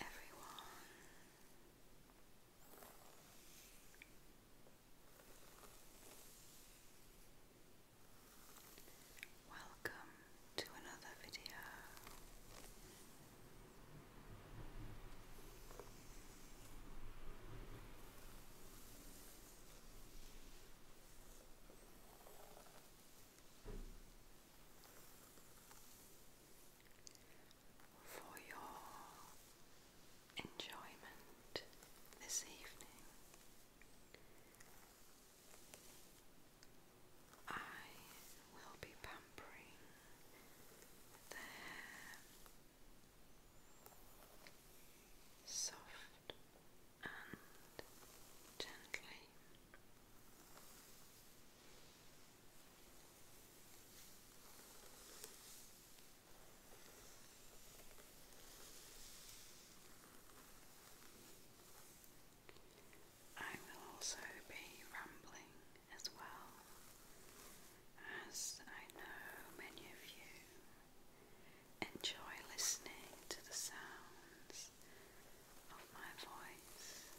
everyone. Welcome to another video for your enjoyment this evening. I will be pampering the hair soft and gently. I will also be rambling as well, as I know many of you enjoy listening to the sounds of my voice.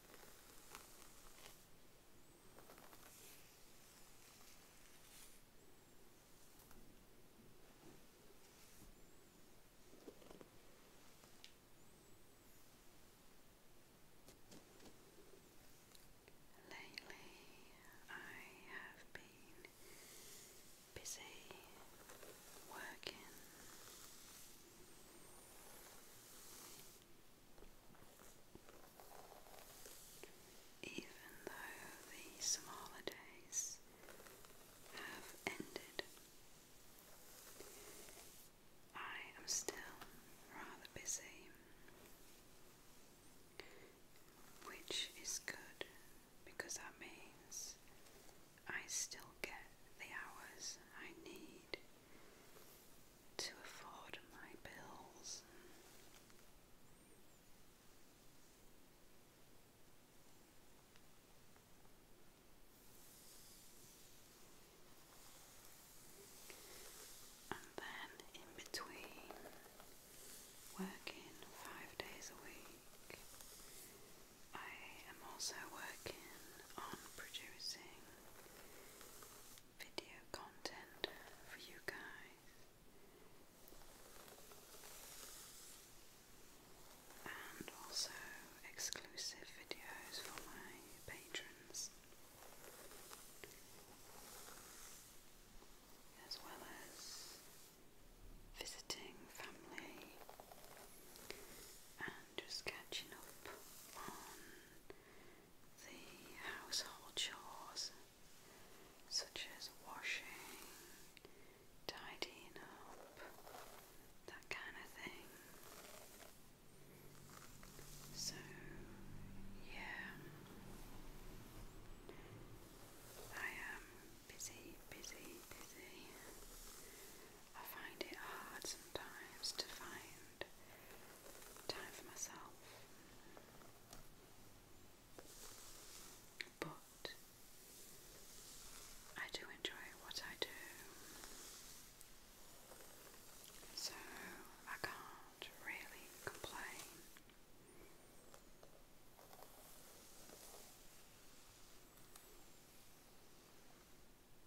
Lately, I have been busy working even though the smaller have ended, I am still rather busy, which is good because that means I still get the hours I need to afford my bills. And then in between working five days a week, I am also working on producing video content for you guys, and also exclusive videos for my patrons. As well as visiting family just catching up on the household chores such as washing, tidying up, that kind of thing. So, yeah, I am busy, busy, busy. I find it hard sometimes to find time for myself. But I do enjoy what I do. So I can't really complain.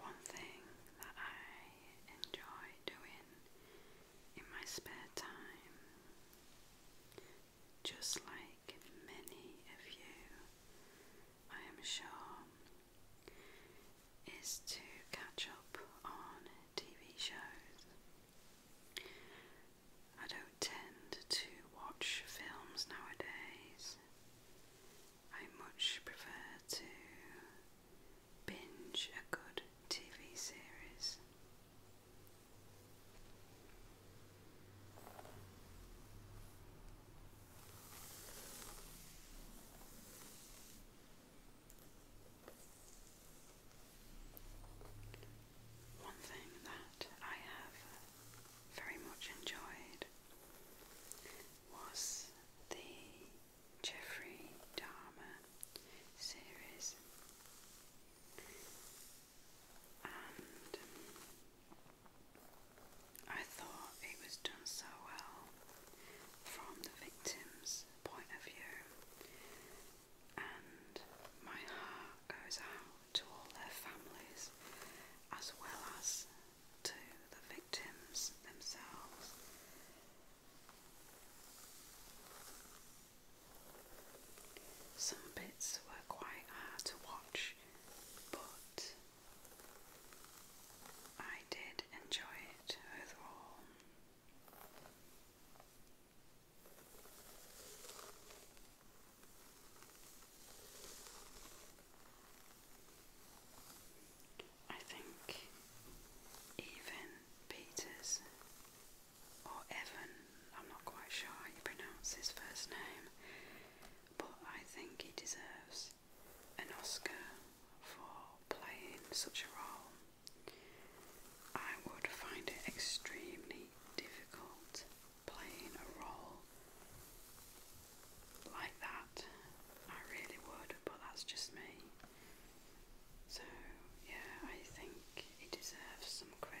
One thing that I enjoy doing in my spare time, just like many of you, I am sure, is to catch up on TV shows. I don't tend to watch films nowadays. I much prefer to binge a good TV series. One thing that I have very much enjoyed was the Jeffrey Dahmer series, and um, I thought it was done so well from the victim's point of view, and my heart goes out to all their families as well as to the victims themselves. Some bits were quite hard to watch, but I did enjoy it overall. I think even Peters or Evan, I'm not quite sure how you pronounce his first name, but I think he deserves an Oscar for playing such a role. I would find it extremely difficult playing a role like that. I really would, but that's just me. So, yeah, I think he deserves some credit.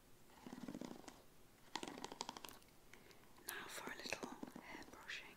Now for a little hair brushing.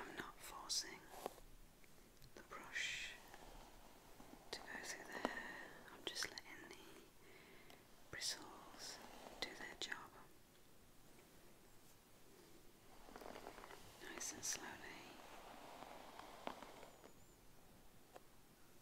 I'm not forcing the brush to go through the hair, I'm just letting the bristles do their job. Nice and slowly.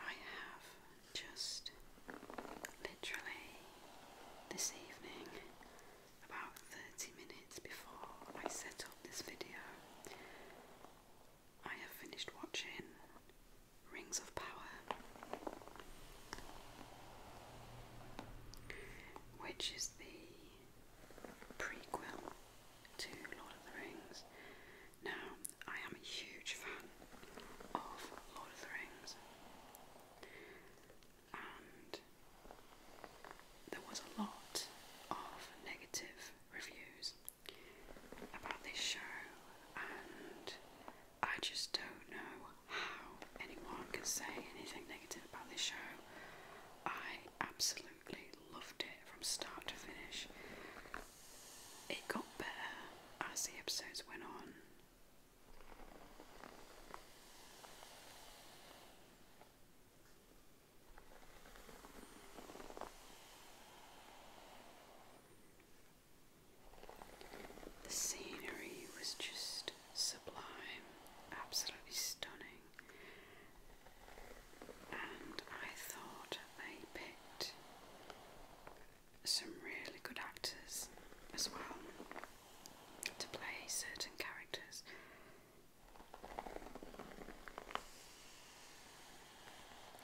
I have just literally this evening, about 30 minutes before I set up this video, I have finished watching Rings of Power, which is the prequel to Lord of the Rings. Now, I am a huge fan of Lord of the Rings, and there was a lot of negative reviews about this show, and I just don't know how anyone can say anything negative about this show. I absolutely loved it from start to finish. It got better as the episodes went on. The scenery was just sublime, absolutely stunning and I thought they picked some really good actors as well to play certain characters.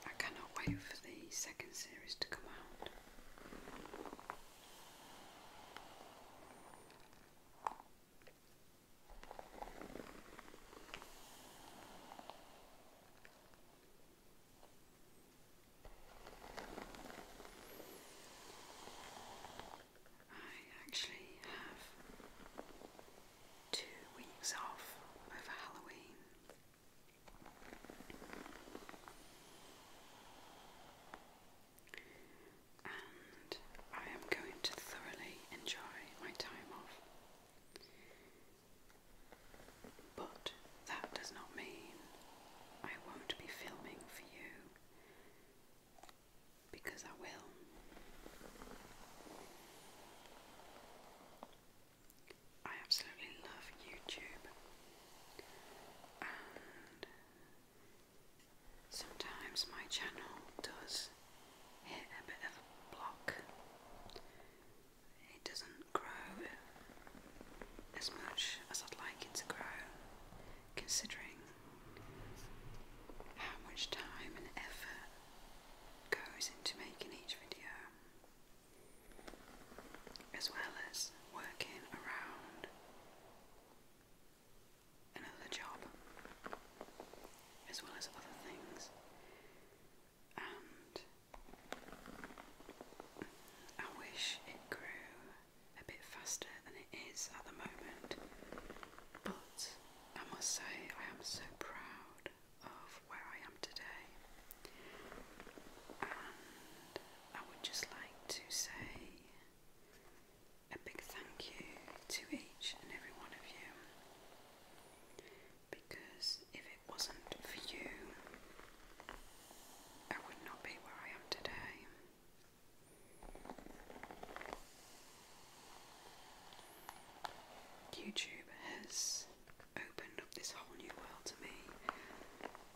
I cannot wait for the second series to come out. I actually have two weeks off over Halloween and I am going to thoroughly enjoy my time off. But that does not mean I won't be filming for you because I will. I absolutely love YouTube Sometimes my channel does hit a bit of a block. It doesn't grow as much as I'd like it to grow, considering how much time and effort goes into making each video, as well as working around another job, as well as other things, and I wish it grew a bit faster than it is at the moment, but I must say I am so proud of where I am today, and I would just like to say a big thank you to each and every one of you because if it wasn't for you, I would not be where I am today. YouTube has opened up this whole new world to me,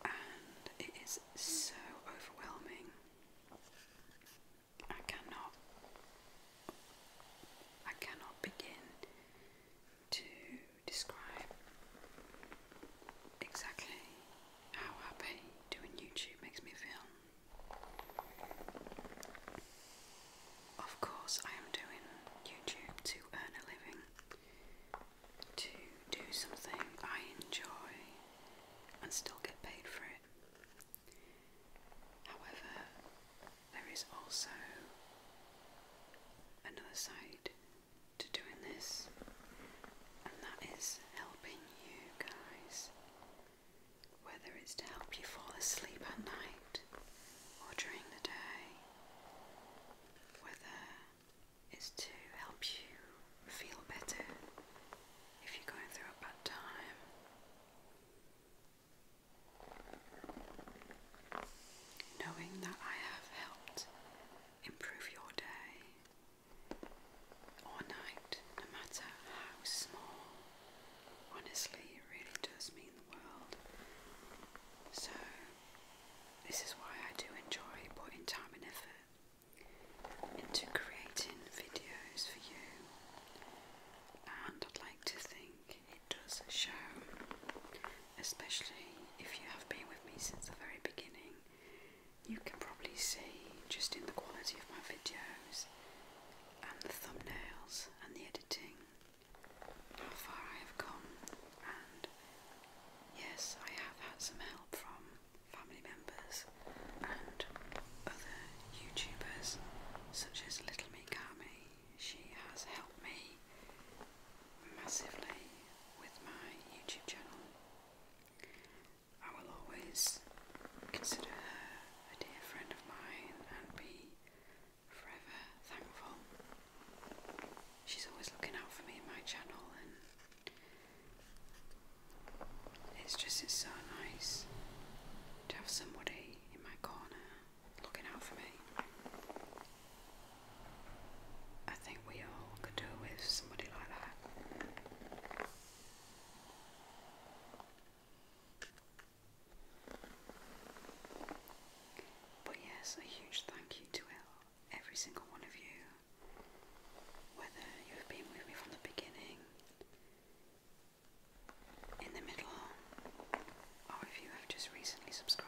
and it is so overwhelming. I cannot I cannot begin to describe exactly how happy doing YouTube makes me feel. Of course, I am doing YouTube to earn a living, to do something I enjoy and still get paid for it. However, there is also another side to doing this, and that is helping you guys, whether it's to help you fall asleep at night or during the day, whether it's to help you feel better if you're going through a bad time. Knowing that I have helped improve your day or night, no matter how small, honestly, it really does mean the world. So, this is why I do enjoy putting time and effort into creating videos for you, and I'd like to think it does show, especially if you have been with me since the very beginning. You can probably see just in the quality of my videos and the thumbnails and the editing how far I have come, and yes, I have had some help from family members, and other YouTubers such as Little Mikami. She has helped me massively with my YouTube channel. I will always consider her a dear friend of mine and be forever thankful. She's always looking out for me in my channel and it's just, it's so nice to have somebody in my corner looking out for me. I think we all could do with somebody like that. But yes, a huge thank you to every single one of you. Whether you've been with me from the beginning, in the middle, or oh, if you have just recently subscribed.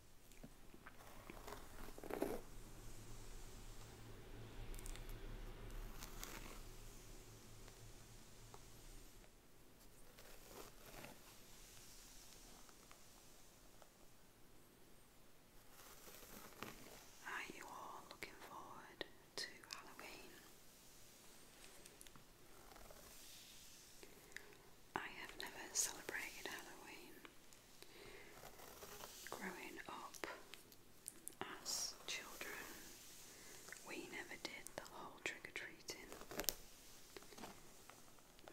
Are you all looking forward to Halloween? I have never celebrated Halloween, Growing up as children, we never did the whole trick or treating.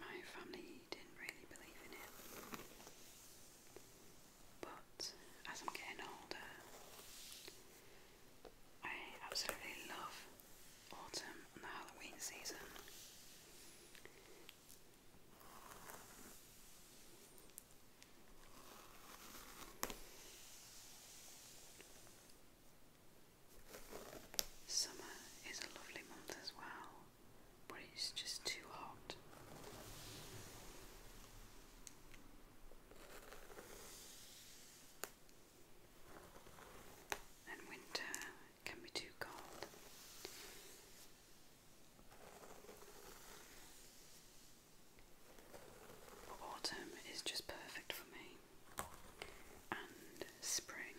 My family didn't really believe in it. But as I'm getting older, I absolutely love autumn and the Halloween season. Summer is a lovely month as well, but it's just too hot. And winter can be too cold. Autumn is just perfect for me, and spring.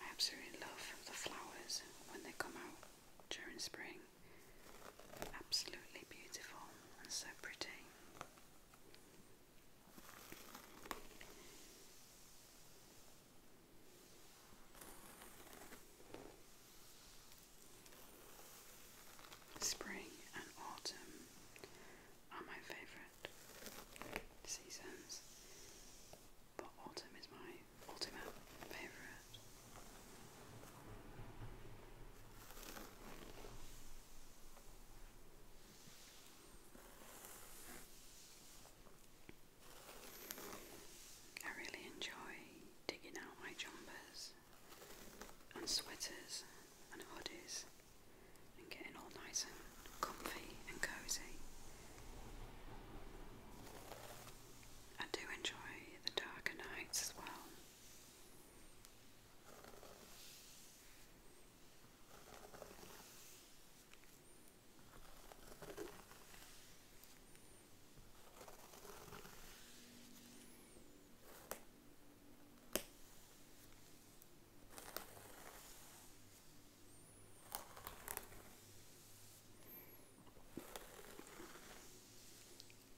I absolutely love the flowers when they come out during spring. Absolutely beautiful and so pretty. Spring and autumn are my favourite seasons, but autumn is my ultimate favourite. I really enjoy digging out my jumpers and sweaters and hoodies and getting all nice and comfy and cozy. I do enjoy the darker nights as well.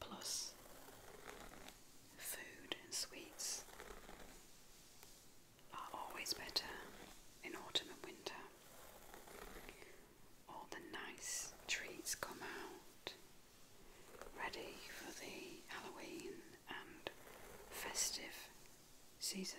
Plus, food and sweets are always better in autumn and winter all the nice treats come out ready for the Halloween and festive season.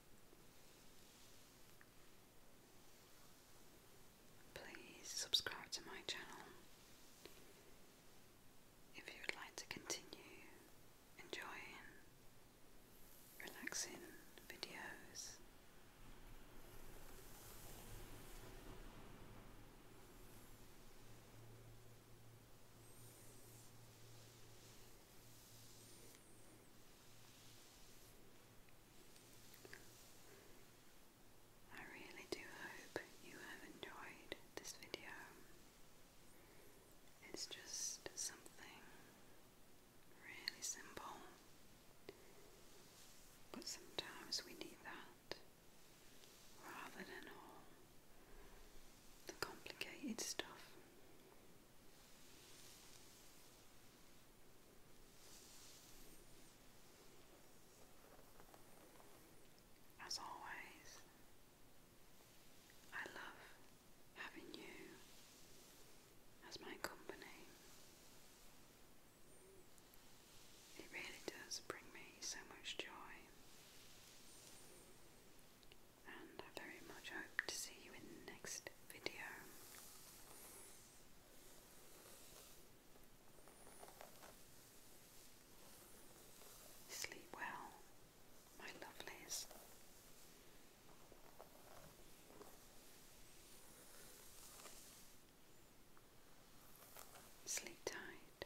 Please subscribe to my channel if you would like to continue enjoying relaxing videos. I really do hope you have enjoyed this video. It's just something really simple, but sometimes we need that rather than all the complicated stuff. As always, I love having you as my company. It really does bring me so much joy and I very much hope to see you in the next video. Sleep well, my lovelies. Sleep tight.